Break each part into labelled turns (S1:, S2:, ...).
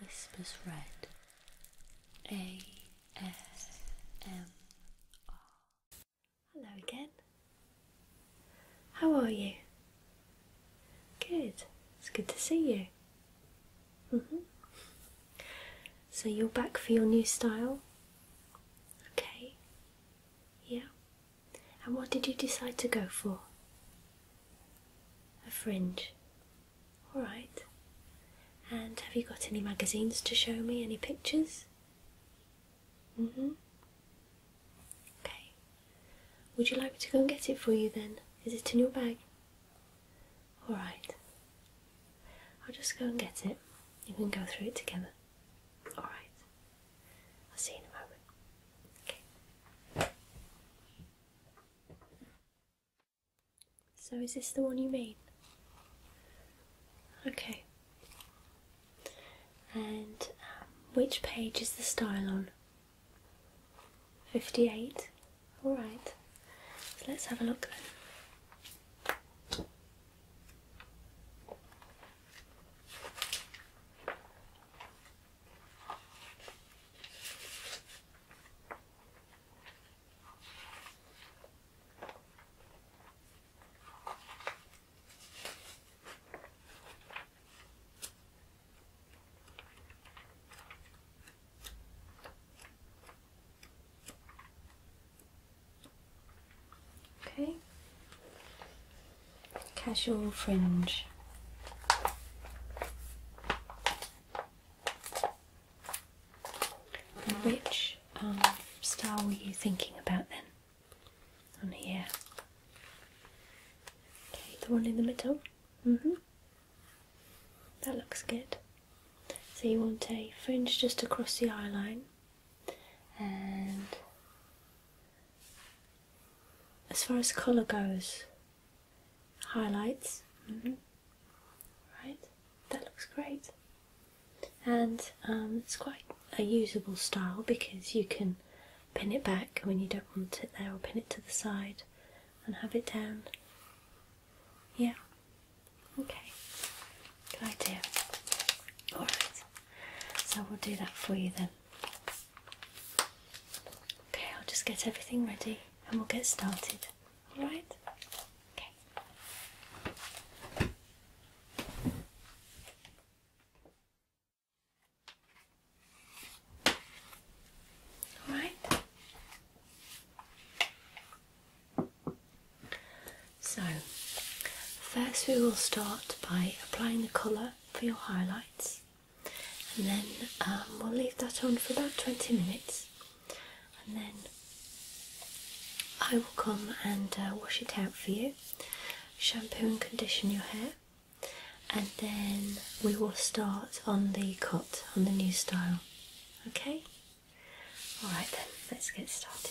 S1: Whispers Red ASMR. Hello again. How are you? Good. It's good to see you. -hmm. So you're back for your new style? Okay. Yeah. And what did you decide to go for? A fringe. Alright. And have you got any magazines to show me? Any pictures? hmm. Okay. Would you like me to go and get it for you then? Is it in your bag? Alright. I'll just go and get it. You can go through it together. Alright. I'll see you in a moment. Okay. So, is this the one you mean? Okay. And um, which page is the style on? 58. Alright, so let's have a look Okay, casual fringe. Which um, style were you thinking about then? On here. the one in the middle. Mm-hmm. that looks good. So you want a fringe just across the eye line, and as far as colour goes, highlights. Mm-hmm. Right, that looks great. And um, it's quite a usable style because you can pin it back when you don't want it there, or pin it to the side and have it down. Yeah, okay, good idea. Alright, so we'll do that for you then. Okay, I'll just get everything ready and we'll get started. Alright? Okay. Alright. So, first we will start by applying the colour for your highlights and then um, we'll leave that on for about 20 minutes and then I will come and uh, wash it out for you, shampoo and condition your hair, and then we will start on the cut, on the new style. Okay? Alright then, let's get started.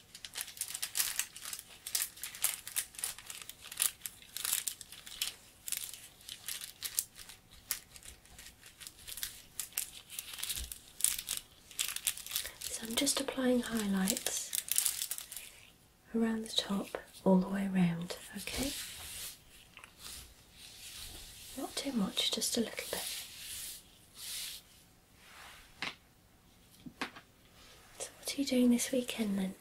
S1: So I'm just applying highlights around the top all the way around. okay? Not too much, just a little bit. So, what are you doing this weekend then?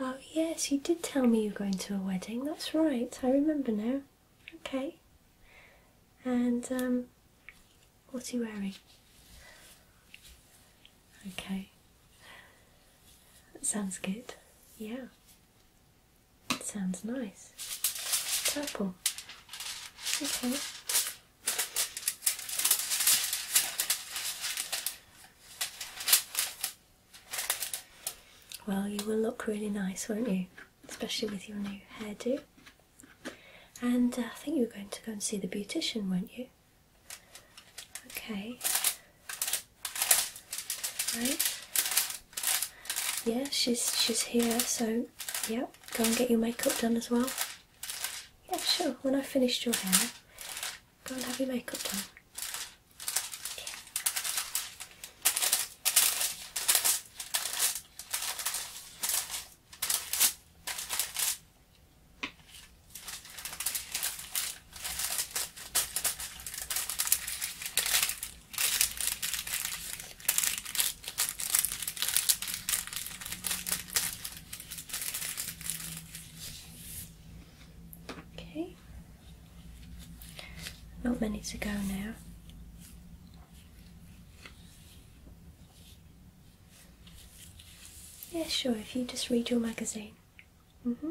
S1: Oh, yes, you did tell me you are going to a wedding. That's right, I remember now. Okay. And, um, what are you wearing? Okay. That sounds good. Yeah. It sounds nice. Purple. Okay. Well, you will look really nice, won't you? Especially with your new hairdo. And uh, I think you were going to go and see the beautician, weren't you? Okay. Right. Yeah, she's she's here, so yeah, go and get your makeup done as well. Yeah, sure. When I've finished your hair, go and have your makeup done. Okay. Not many to go now. Yeah, sure, if you just read your magazine. hmm.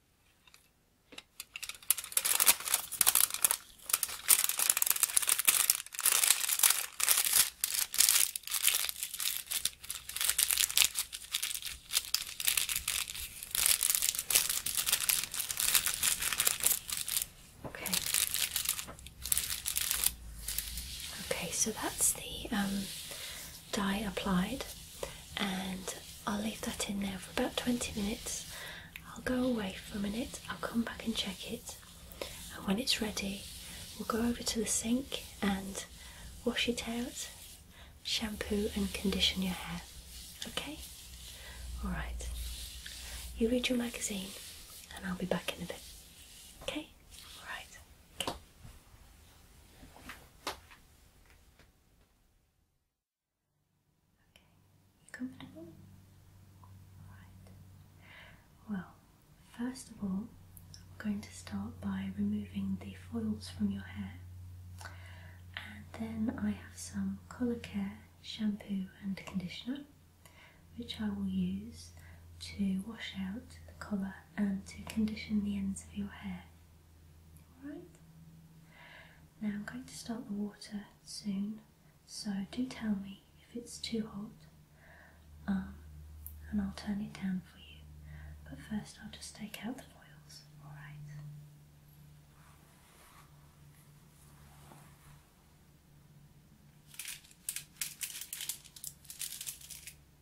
S1: Okay. Okay, so that's the um dye applied and I'll leave that in there for about 20 minutes. I'll go away for a minute, I'll come back and check it, and when it's ready, we'll go over to the sink and wash it out, shampoo and condition your hair. Okay? Alright. You read your magazine, and I'll be back in a bit. Okay? Alright. Okay, comfortable? Alright. Well, first of all, I'm going to start by removing the foils from your hair, and then I have some colour care shampoo and conditioner which I will use to wash out the colour and to condition the ends of your hair. Alright. Now I'm going to start the water soon, so do tell me if it's too hot um, and I'll turn it down for you. But first I'll just take out the foils, alright?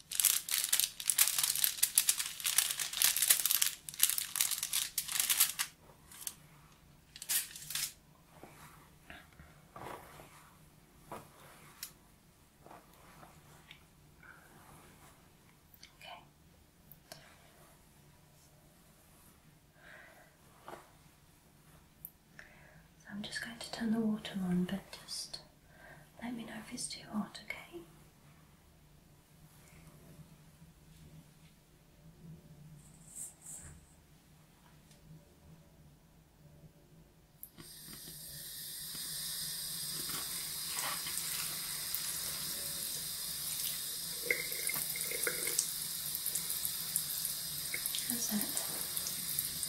S1: Okay. So I'm just going to turn the water on, but just let me know if it's too hot, okay? How's that?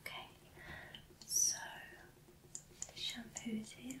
S1: Okay, so shampoo here.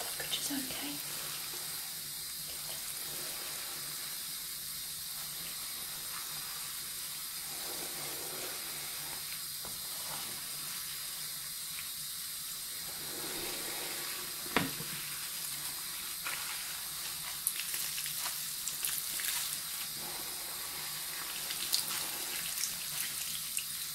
S1: Temperature's okay.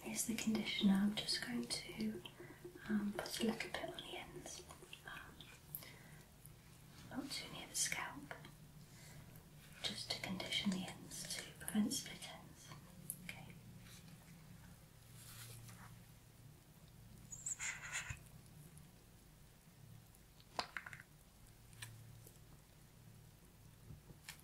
S1: Here's the conditioner. I'm just going to um, put a little bit on the ends, um, not too near the scalp, just to condition the ends to prevent split ends. Okay.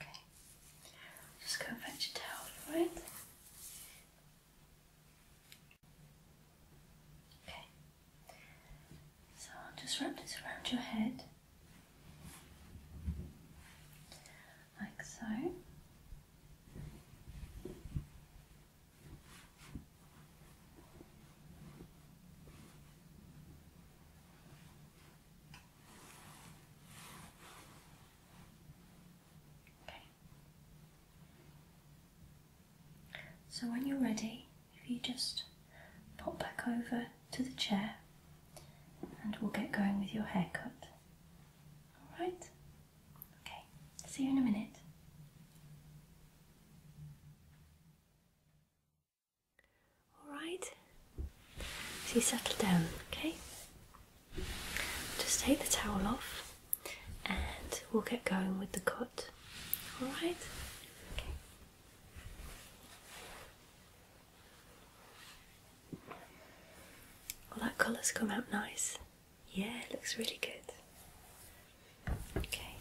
S1: Okay. Just go fetch a towel for it. Okay. So I'll just wrap this around your head. Like so. Okay. So when you're ready, if you just pop back over to the chair and we'll get going with your haircut. Alright? Okay, see you in a minute. Alright, so you settle down, okay? Just take the towel off and we'll get going with the cut. Alright? Okay. Well, that colour's come out nice. Yeah, looks really good. Okay.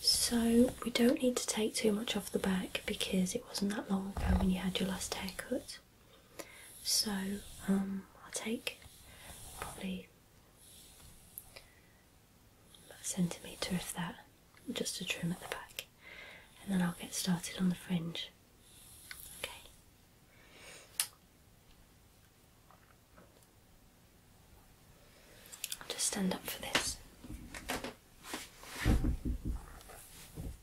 S1: So we don't need to take too much off the back because it wasn't that long ago when you had your last haircut. So um, I'll take probably a centimetre of that, just to trim at the back, and then I'll get started on the fringe. Okay. I'll just stand up for this.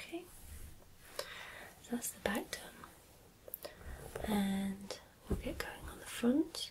S1: Okay, so that's the back done, and we'll get going on the front.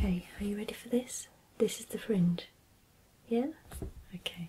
S1: Okay. are you ready for this? This is the fringe. Yeah? Okay. Okay.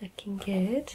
S1: Looking good.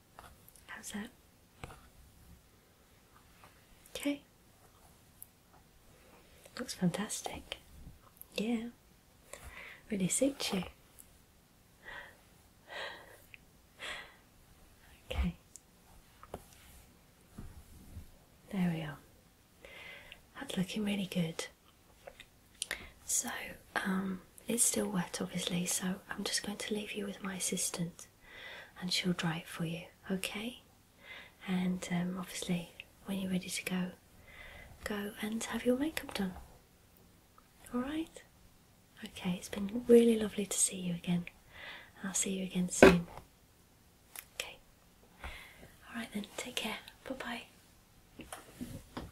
S1: How's that? Okay. Looks fantastic. Yeah. Really suits you. Okay. There we are. That's looking really good. So, um, it's still wet obviously, so I'm just going to leave you with my assistant and she'll dry it for you, okay? And um, obviously, when you're ready to go, go and have your makeup done. Alright? Okay, it's been really lovely to see you again. I'll see you again soon. Okay. Alright then, take care. Bye bye.